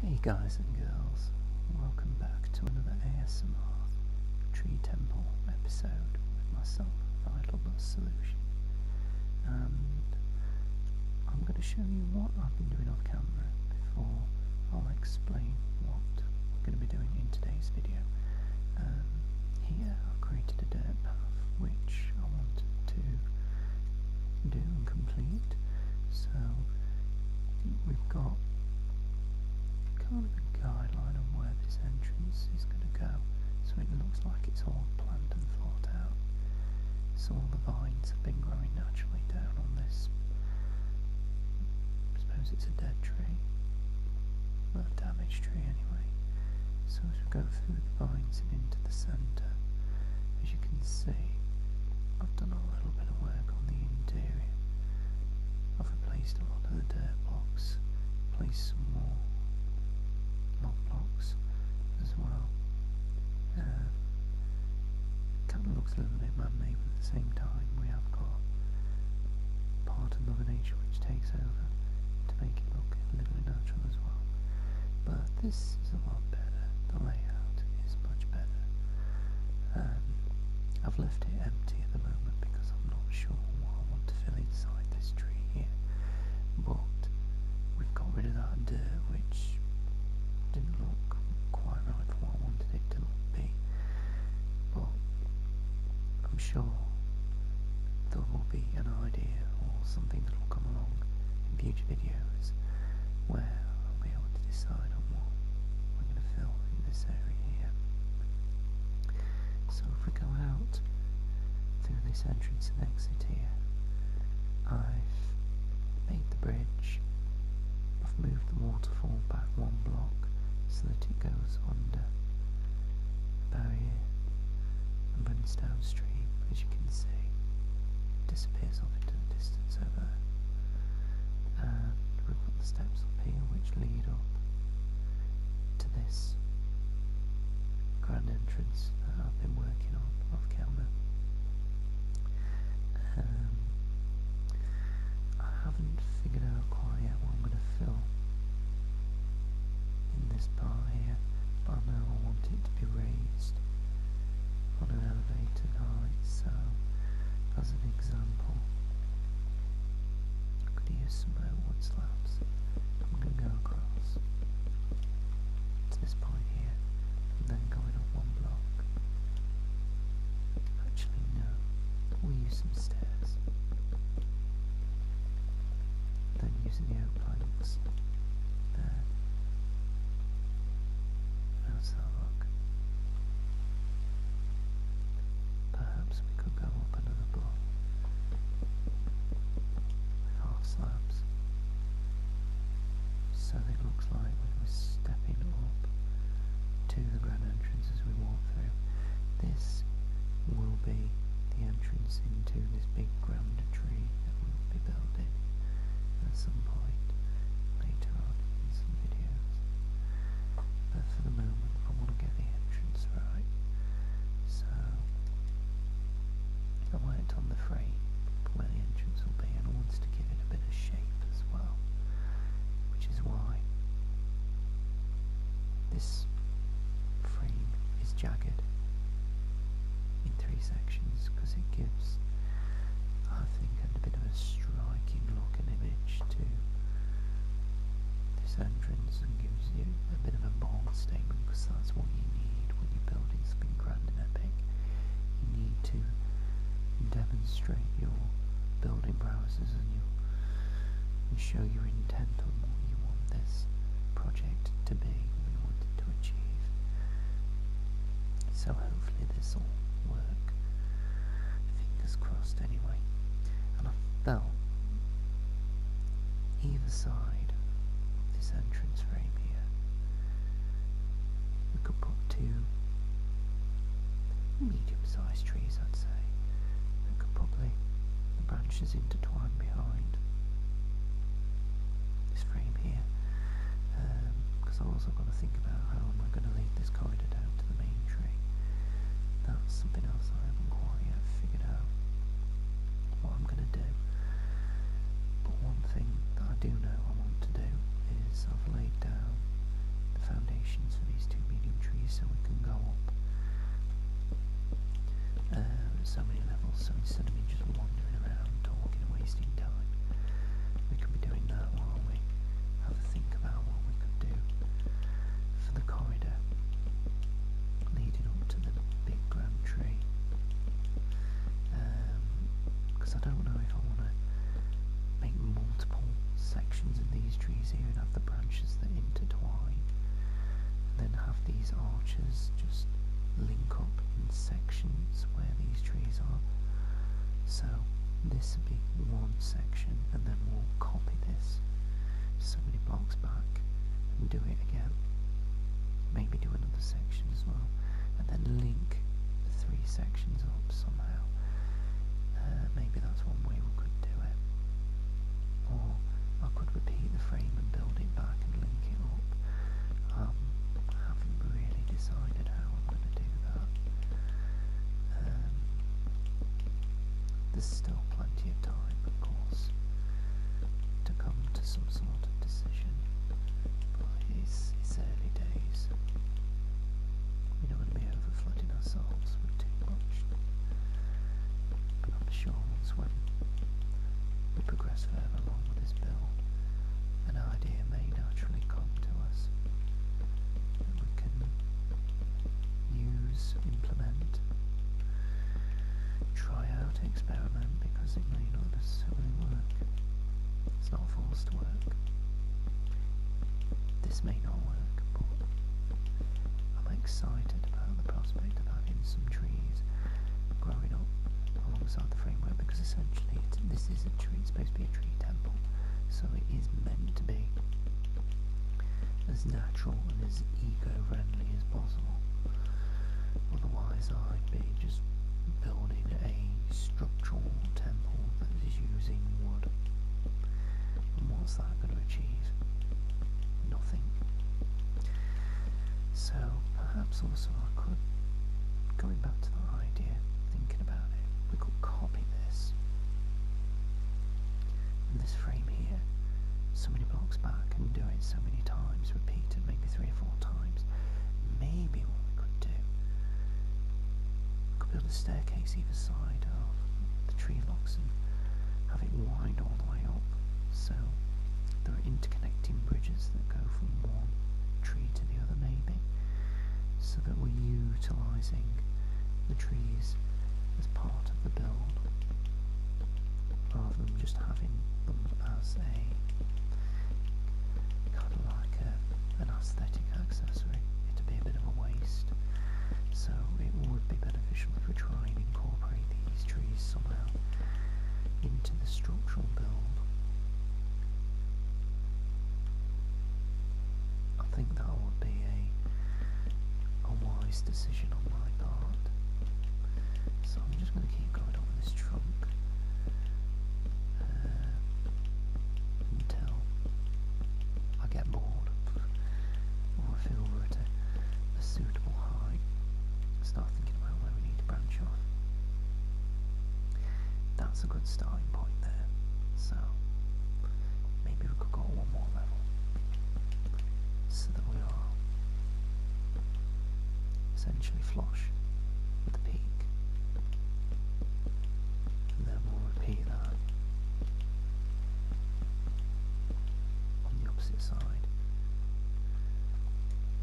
Hey guys and girls, welcome back to another ASMR Tree Temple episode with myself, Vital Bus Solution. I'm going to show you what I've been doing off camera before I'll explain what I'm going to be doing in today's video. Um, here i created a dirt path which I wanted to do and complete. So we've got kind of a guideline on where this entrance is going to go. So it looks like it's all planned and thought out. So all the vines have been growing naturally down on this. I suppose it's a dead tree. Well, a damaged tree anyway. So as we go through the vines and into the centre, as you can see, I've done a little bit of work on the interior. I've replaced a lot of the dirt blocks, placed some more log blocks as well. Uh, kind of looks a little bit man-made, but at the same time we have got part of Mother Nature which takes over to make it look a little bit natural as well this is a lot better. The layout is much better. Um, I've left it empty at the moment because I'm not sure what I want to fill inside this tree here. But we've got rid of that dirt which didn't look quite right for what I wanted it to be. But I'm sure there will be an idea or something that will come along in future videos where I'll be able to decide on what I'm going to film in this area So if we go out through this entrance and exit here, I've made the bridge, I've moved the waterfall back one block so that it goes under the barrier and when it's downstream, as you can see, disappears off into the distance over there. And we've got the steps up here which lead up to this grand entrance that I've been working on off camera. Um, I haven't figured out quite yet what I'm going to film in this this part here, but I know I want it to be raised on an elevated height, so as an example, I could use some redwood slabs. I'm going to go across to this point here, then going up one block. Actually, no, we use some stairs. Then using the no planets there. let look. Perhaps we could go up another block with half slabs. So it looks like we are stepping up to the grand entrance as we walk through. This will be the entrance into this big grand tree be building at some point later on in some videos. But for the moment I want to get the entrance right. So I worked on the frame where the entrance will be and wanted to give it a bit of shape as well. Which is why this frame is jagged in three sections because it gives, I think, a bit of a striking look and image to this entrance and gives you a bit of a bold statement because that's what you need when you're building something grand and epic. You need to demonstrate your building prowesses and you show your intent on what you want this project to be to achieve. So hopefully this will work. Fingers crossed anyway. And I felt either side of this entrance frame here. could put two medium-sized trees, I'd say. We could probably the branches intertwine behind this frame here because um, I've also got to think about how am going to lead this corridor down to the main tree. That's something else I haven't quite yet figured out what I'm going to do. But one thing that I do know I want to do is I've laid down the foundations for these two medium trees so we can go up. Uh, so many levels, so instead of me just wandering around, talking and wasting time, we could be doing that while we have a think about what we could do for the corridor leading up to the big grand tree. Because um, I don't know if I want to make multiple sections of these trees here and have the branches that intertwine, and then have these arches just link up in sections where these trees are. So this would be one section and then we'll copy this so many blocks back and do it again. Maybe do another section as well and then link the three sections up somehow. Uh, maybe that's one way we could do it. Or I could repeat the frame and build it back and link it up. Um, I haven't really decided how I'm going to do that. Um, there's still plenty of time, of course, to come to some sort of decision, but it's, early days. We don't want to be overflooding ourselves with too much, but I'm sure once when we progress progressive along with this bill, an idea may naturally come to us that we can use, implement, try out, experiment because it may not necessarily work. It's not forced to work. This may not work, but I'm excited about the prospect right and having some trees growing up alongside the framework because essentially this is a tree, it's supposed to be a tree temple, so it is meant to be as natural and as eco-friendly as possible. Otherwise I'd be just building a structural temple that is using wood. And what's that going to achieve? nothing. So perhaps also I could, going back to that idea, thinking about it, we could copy this. this frame here, so many blocks back and do it so many times, repeated maybe three or four times. Maybe what we could do, we could build a staircase either side of the tree locks and have it wind all the way up so there are interconnecting bridges that go from one tree to the other maybe, so that we're utilising the trees as part of the build rather than just having them as a kind of like an aesthetic accessory. it be a bit of a waste. So it would be beneficial if we try and incorporate these trees series into the structural build. I think that would be a, a wise decision on my part. So I'm just going to keep going on this trunk uh, until I get bored or I feel that a suitable height, start thinking about where we need to branch off. That's a good starting point there. So maybe we could go one more level. So that we are essentially flush with the peak. And then we'll repeat that on the opposite side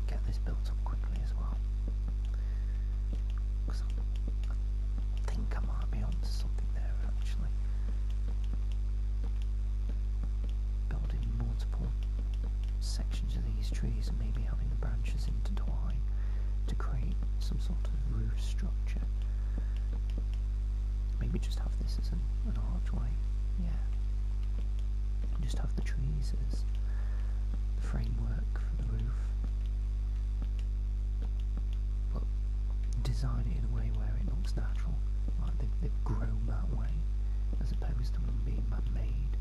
get this built up quickly as well. Because I, think I might be onto something there actually. Building multiple sections of these trees and maybe having the branches intertwine to create some sort of roof structure. Maybe just have this as an, an archway. Yeah just have the trees as the framework for the roof. But design it in a way where it looks natural, like they they've that way, as opposed to them being man-made.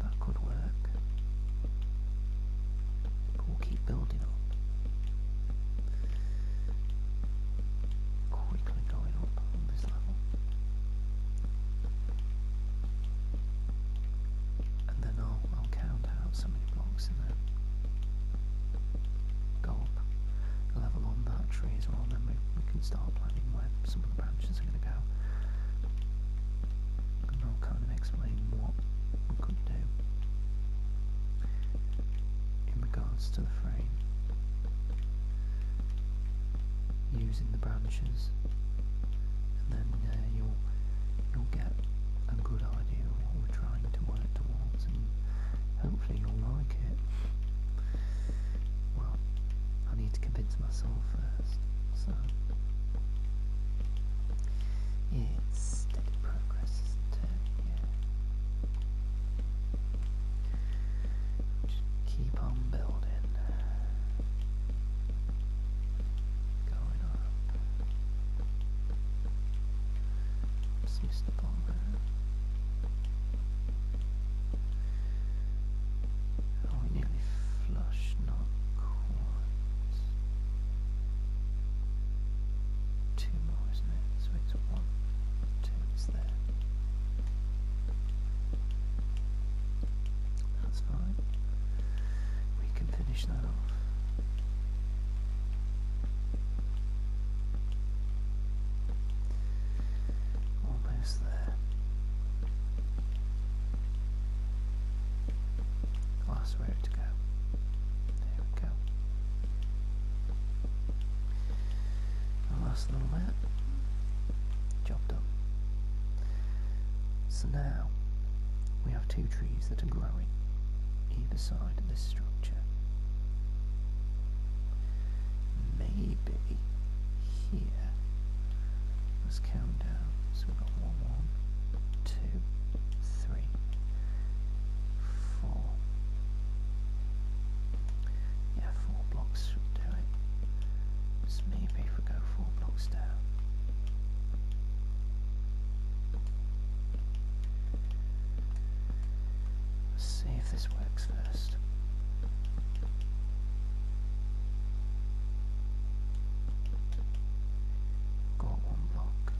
That could work. we'll keep building up quickly going up on this level. And then I'll, I'll count out so many blocks and then go up a level on that tree as well. Then we, we can start planning where some of the branches are going to go. And I'll kind of explain what we could do in regards to the frame using the branches, and then you'll you'll get a good idea of what we're trying to work towards and hopefully you'll like it. Well, I need to convince myself first, so it's steady progress, is just keep on building. Going up. It's Mr. Bomber. we nearly flush, not quite. Two more, isn't it? one, two there. That's fine. We can finish that off. Almost there. I'll to go. There we go last little bit. Job done. So now we have two trees that are growing either side of this structure. Maybe here, let's count down. So we've got one, one, two, three, four, yeah, four blocks should do it. Just maybe if we go four blocks down. Let's see if this works first. Got one block.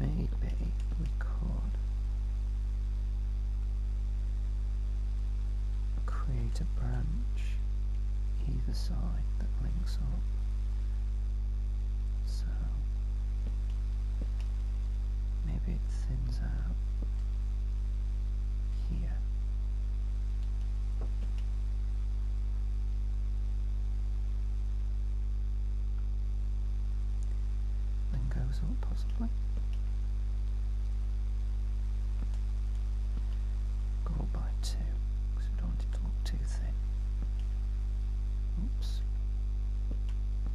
Maybe we could Create a branch either side that links up. So maybe it thins out here. Then goes up, possibly. Go up by two, because don't it look too thin. Oops.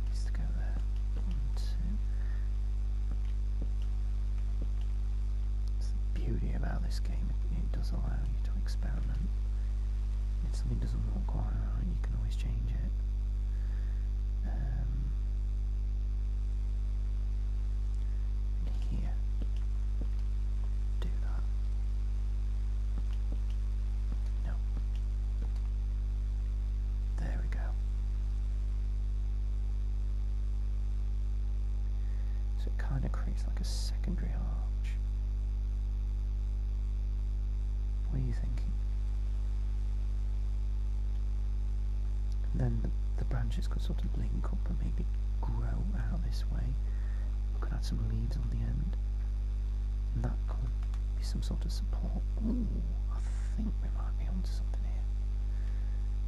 Needs to go there. One, two. It's the beauty about this game, it does allow you to experiment if something doesn't work quite right, you can always change it. Um, here, do that. No. There we go. So it kind of creates like a secondary arch. What are you thinking? then the, branches could sort of link up and maybe grow out this way. We could add some leaves on the end. that could be some sort of support. Ooh, I think we might be onto something here.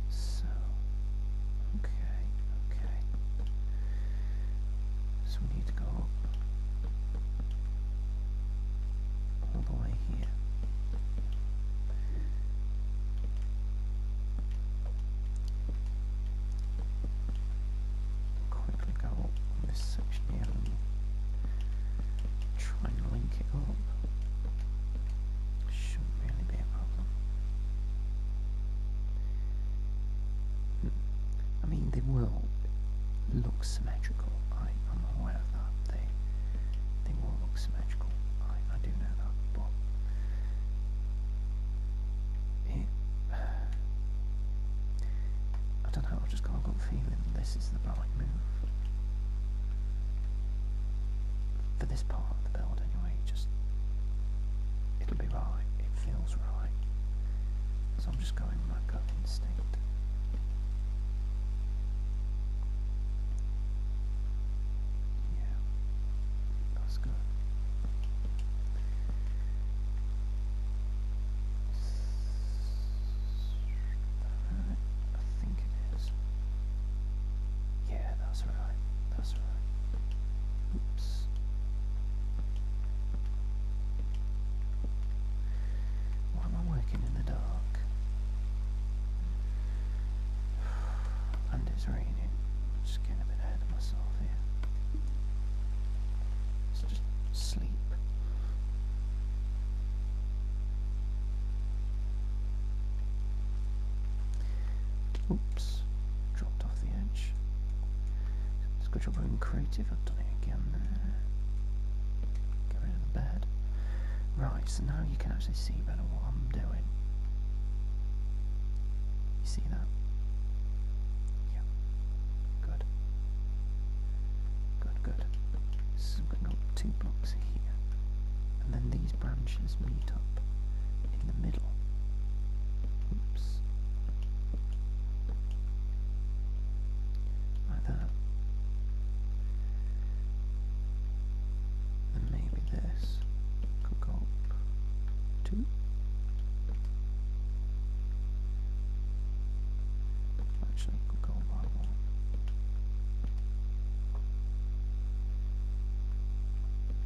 So, okay, okay. So we need to go all the way here. Quickly go up this section here and try and link it up. Shouldn't really be a problem. Hmm. I mean, they will look symmetrical. I, am aware of that. They they will look symmetrical. I, I do know that, but it, I don't know. I've just got a good feeling this is the right move for this part of the build. Anyway, just it'll be right. It feels right. So I'm just going instinct. Yeah, that's good. Right, I think it is. Yeah, that's right. That's right. Oops. Why am I working in the dark? And it's raining. just getting a bit ahead of myself here. So just sleep. Oops, dropped off the edge. Let's go to Room Creative. I've done it again Get rid of the bed. Right, so now you can actually see better what I'm doing. You see that? Yeah. Good. Good, good. So I'm going to go two blocks here. And then these branches meet up in the middle. Oops like that. And maybe this could go two. Actually, could go by one.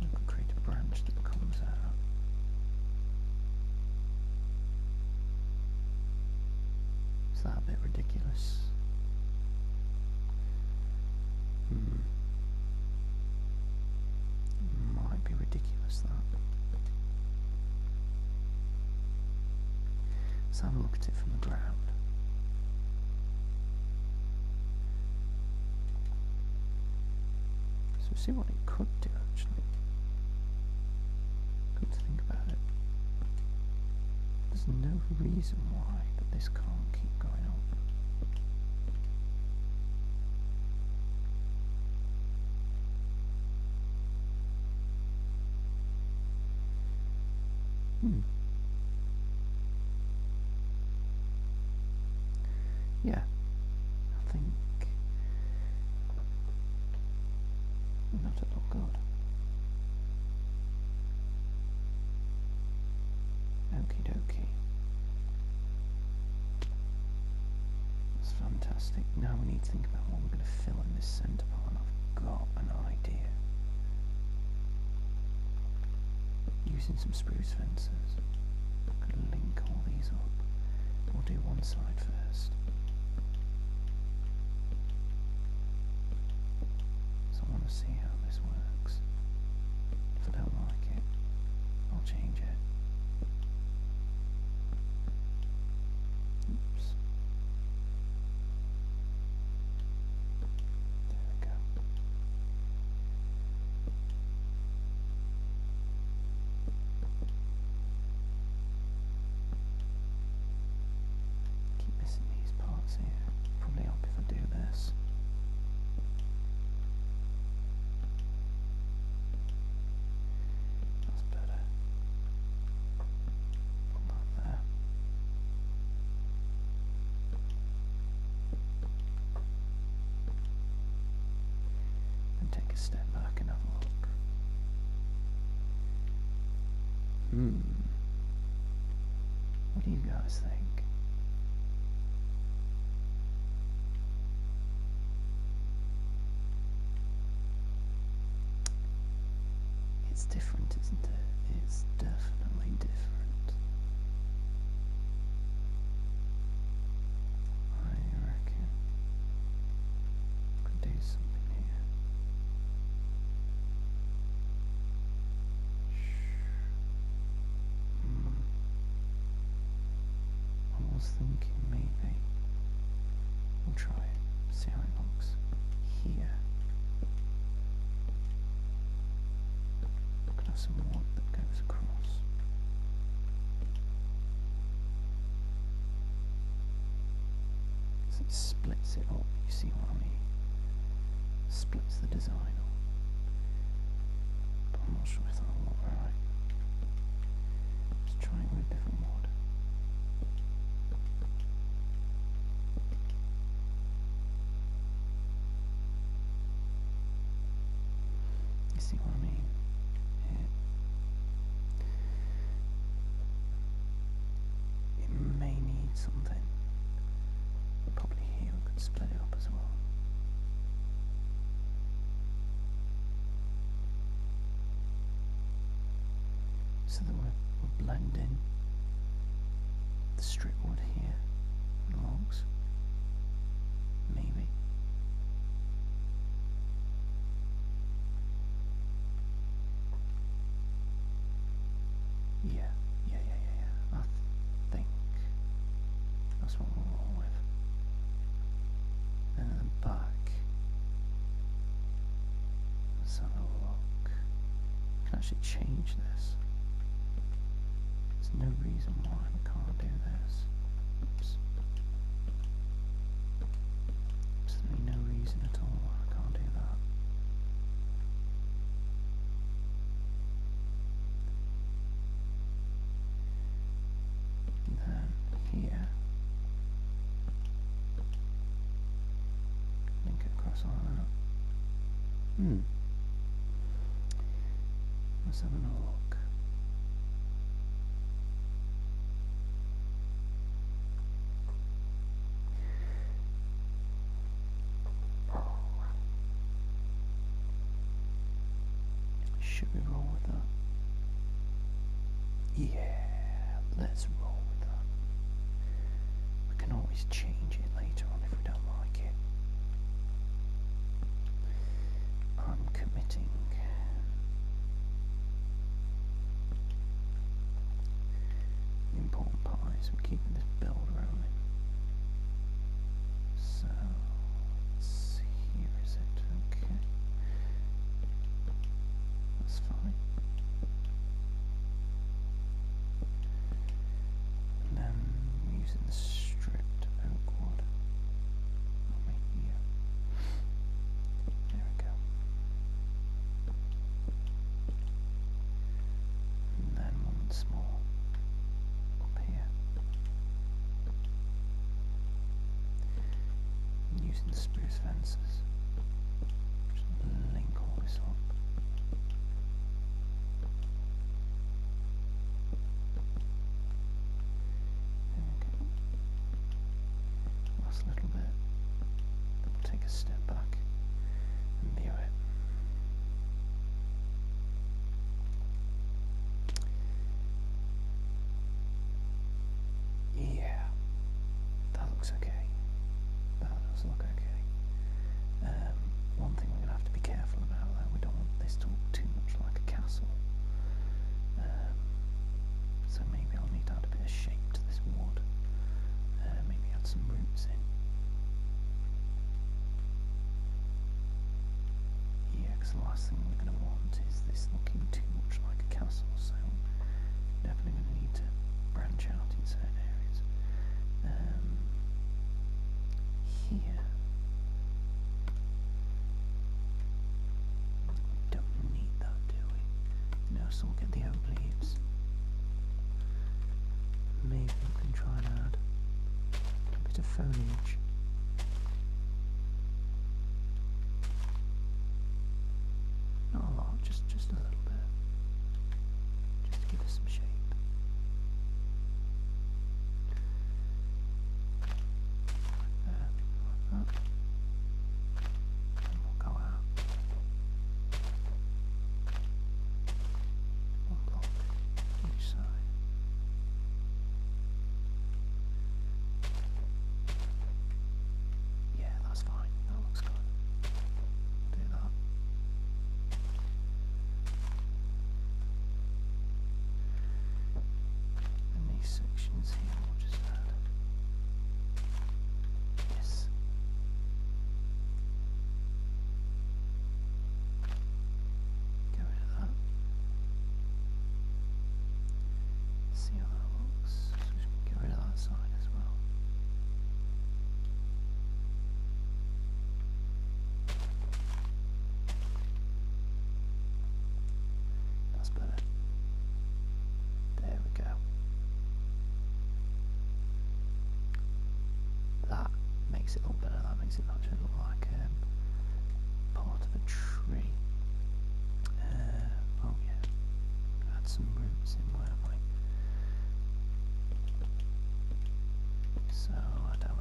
I could create a branch that comes out is that a bit ridiculous? Hmm. Might be ridiculous that. Let's have a look at it from the ground. So see what it could do actually. Come to think about it, there's no reason why this can't keep going on. Hmm. Yeah, I think not at all good. Okie dokie. That's fantastic. Now we need to think about what we're going to fill in this centre part, I've got an idea. Using some spruce fences, link all these up. We'll do one side first. So I want to see how this works. If I don't like it, I'll change it. Oops. There we go. Keep missing these parts here. Probably help if I do this. That's better. Put there and take a step back and have a look. Hmm. What do you guys think? It's different, isn't it? It's definitely different. I second. Could do something here. Mm. I was thinking maybe we'll try it, see how it looks here. I could have because it splits it up, you see what I mean? Splits the design up. But I'm not sure if that'll right. Let's with different mod. You see what I mean? It may need something. probably here we could split it up as well. So that we we're blending the strip wood here logs. Maybe. Yeah, yeah, yeah, yeah, yeah. I think that's what we'll roll with. And then back. Let's have can actually change this. There's no reason why we can't do this. Oops. There's no reason at all why I can't do that. then here, link it across like that. Hmm. Let's have a look. Should we roll with that? Yeah, let's roll with that. We can always change it later on if we don't like it. I'm committing. The important part is we're keeping this build rolling. So, let's see, here is it, okay. That's fine. And then using the stripped oak wood right here. There we go. And then once more up here. using the spruce fences. link all this up. There we go last little bit. we'll take a step back and view it. Yeah, that looks okay. That does look okay. Um, one thing we're going to have to be careful about though, we don't want this to look too much like a castle. Um, so maybe I'll need to add a bit of shape to this wood, uh, maybe add some roots in. Yeah, the last thing we're going to want is this looking too much like a castle, so definitely going to need to branch out inside areas. Um, here, don't need that, do we? No, so we'll get the oak leaves. Maybe we can try and add a bit of foliage. Not a lot, just just a little bit. Just give us some shape happy go out. One block each side. Yeah, that's fine. That looks good. do that. And these sections here just happened? Yes. Get rid of that. See how that looks. get rid of that side as well. That's better. There we go. That makes it look better. That makes it actually look like um, part of a tree. Uh, oh yeah, add some roots in, where am So I don't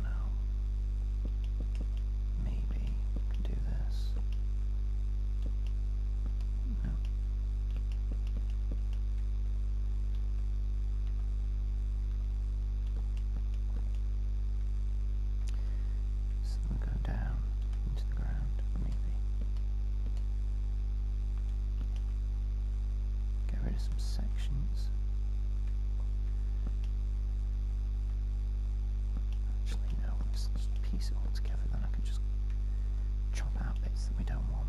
Maybe we can do this. No. So go down into the ground, maybe. Get rid of some sections. Actually, no, just piece it all together, then I can just chop out bits that we don't want.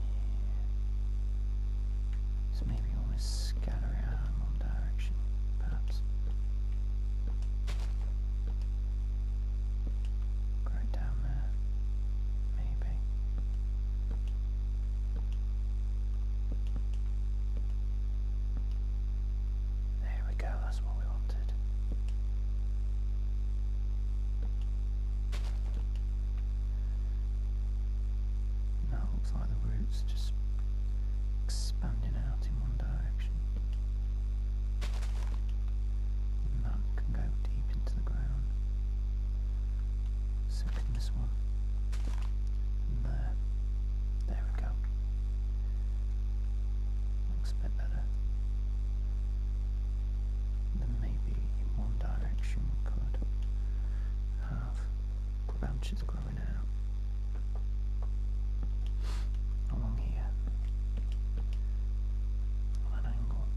So maybe always scatter out in one direction, perhaps. Right down there, maybe. There we go, that's what we wanted. That looks like the roots just expanding out in one direction. that can go deep into the ground. So can this one. there. There we go. Looks a bit better then maybe one direction we could have branches growing out along here on an angle.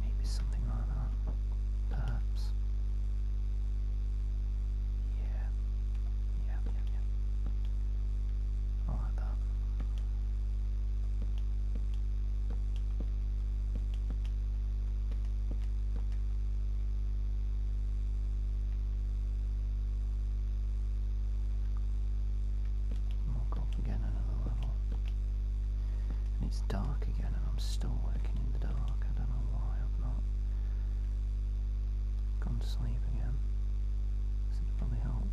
Maybe something like that, perhaps. Yeah, yeah, yeah, yeah. I like I'll again another level. And it's dark again and I'm still working in the dark. I don't know why i am not gone to sleep again. This would probably help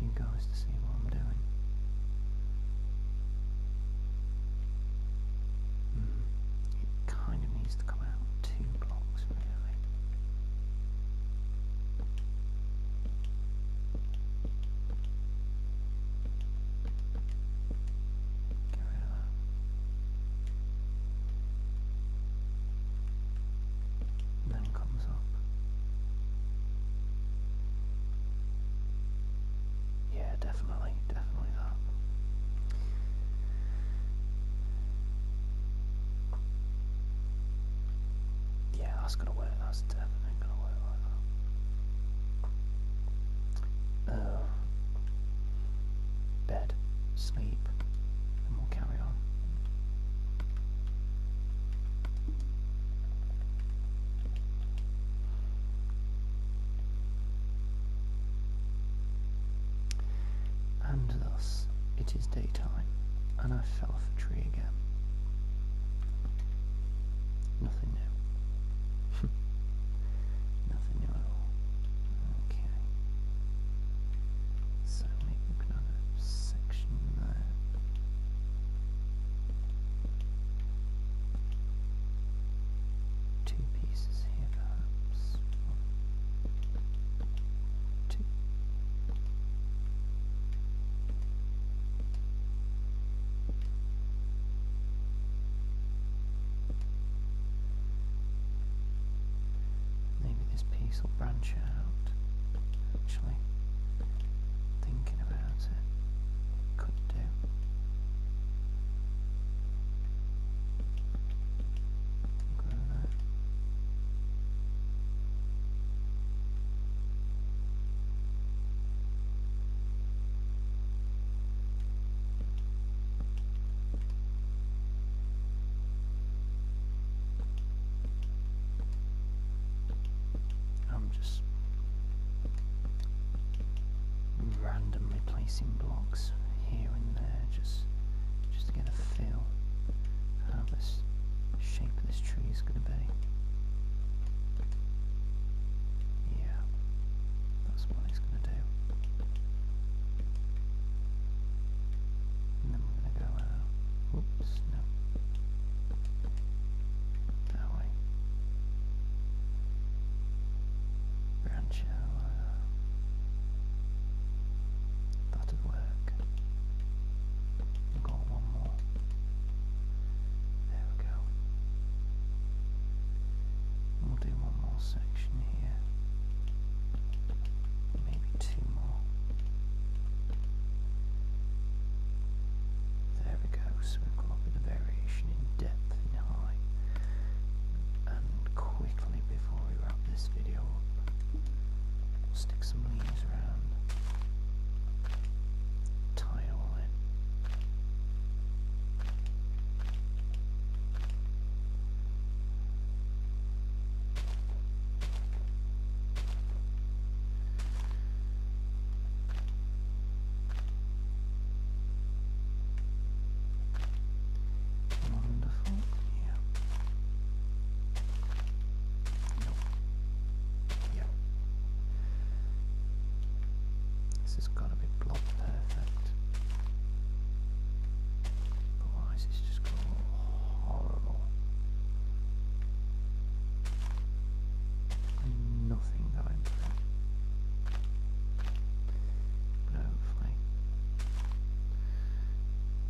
you guys to see what I'm doing. Mm-hmm. it kind of needs to come out about two blocks really. Get rid of that. And then comes up. Yeah, yeah, definitely, definitely that. Yeah, that's gonna work. That's definitely gonna work like that. Uh, bed, sleep, and we'll carry on. And thus it is daytime, and I fell off a tree again. Nothing new. Nothing new at all. Okay. So maybe we section there two pieces here perhaps. two. Maybe this piece will branch out. Actually, thinking about it, could do. I'm just randomly placing blocks here and there just just to get a feel how this shape of this tree is going to be. Yeah, that's what it's going to do. then we're going to go uh, out. no. That way background That'll work. We've got one more. There we go. We'll do one more section here. Maybe two more. There we go. So we've got a variation in depth, in height, and quickly before we wrap this video stick some leaves around. Tie all in. Wonderful. Yeah. No. Yeah. This has got to be block perfect. Otherwise, it's just going to look horrible. Nothing going hopefully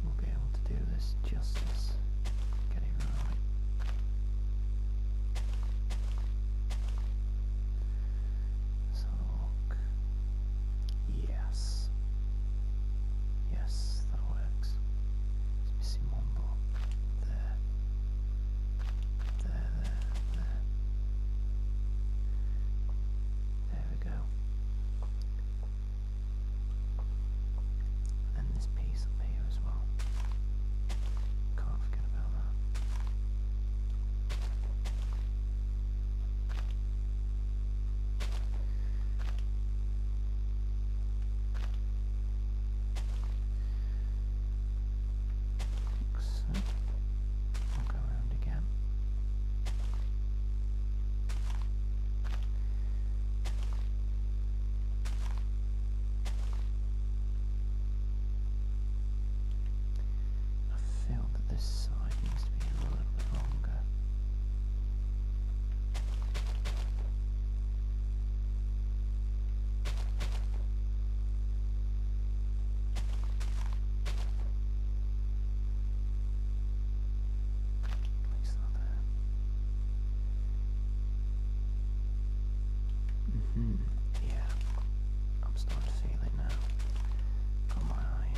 we'll be able to do this justice. Get it So Yes. Yes, that works. It's missing one block. There. There, there, there. There we go. And this piece up here as well. Can't forget about that. So. I feel that this side needs to be a little bit longer hmm. Yeah. I'm starting to feel it now. Got my eye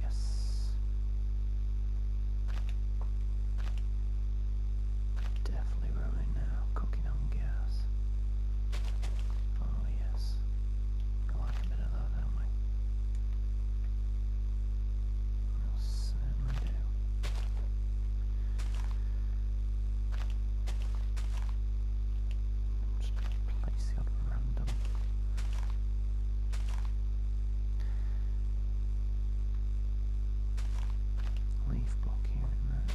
Yes. Definitely where now, cooking on gas. Oh yes. I like a bit of that, don't we? will certainly do. Just place the other random leaf block here in that.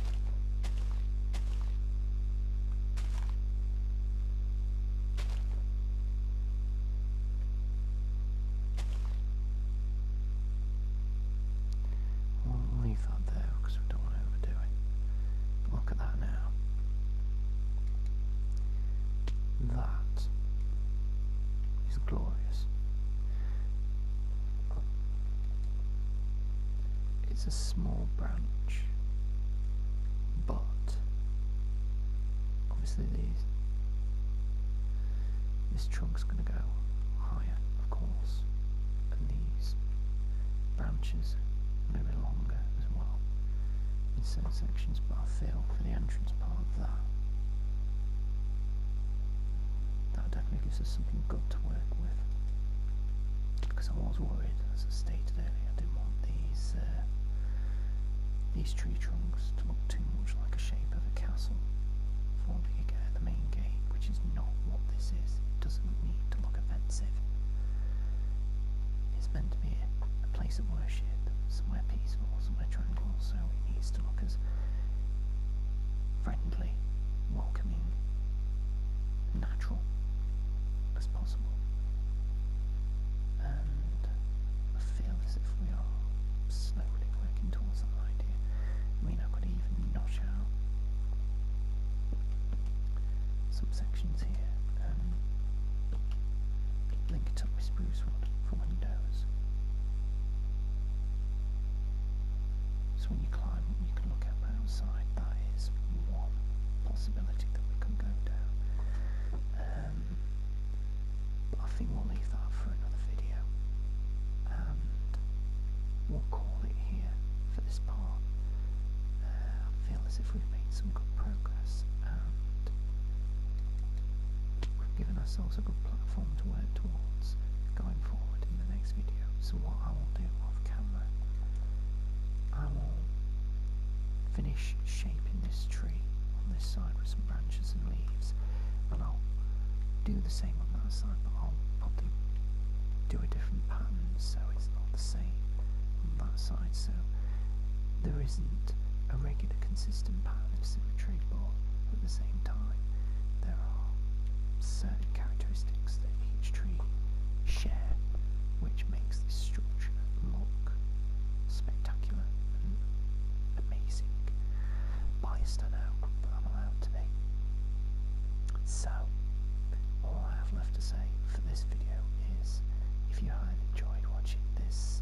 We'll there because we don't want to overdo it. look at that now. That is glorious. It's a small branch, but obviously these this trunk's going to go higher, of course, and these branches maybe longer as well in certain sections. But I feel for the entrance part of that that definitely gives us something good to work with. Because I was worried, as I stated earlier, I didn't want these uh, these tree trunks to look too much like a shape of a castle forming the main gate, which is not what this is. It doesn't need to look offensive. It's meant to be a place of worship, somewhere peaceful, somewhere tranquil, so it needs to look as friendly, welcoming, natural as possible. And I feel as if we are slowly working towards that idea. I mean, I could even notch out some sections here and um, link it up with spruce wood for windows. So when you climb, you can look at the outside. That is one possibility that we can go down. Um, I think we'll leave that for another video. we'll call it here for this part. Uh, I feel as if we've made some good progress and we've given ourselves a good platform to work towards going forward in the next video. So what I will do off camera, I will finish shaping this tree on this side with some branches and leaves and I'll do the same on that side but I'll probably do a different pattern so it's not the same on that side so there isn't a regular consistent pattern of symmetry but at the same time time, there are certain characteristics that each tree share, which makes this structure look spectacular and amazing. Biased, I know, but I'm allowed to be. So, all I have left to say for this video is if you have enjoyed watching this,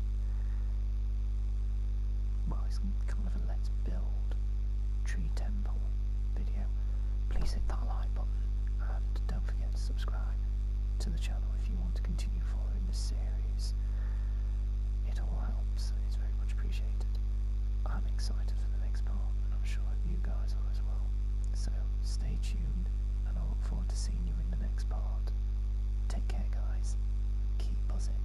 well, it's kind of a build tree temple video, please hit that like button and don't forget to subscribe to the channel if you want to continue following this series. It all helps and it's very much appreciated. I'm excited for the next part and I'm sure you guys are as well. So stay tuned and I look forward to seeing you in the next part. Take care guys. Keep buzzing.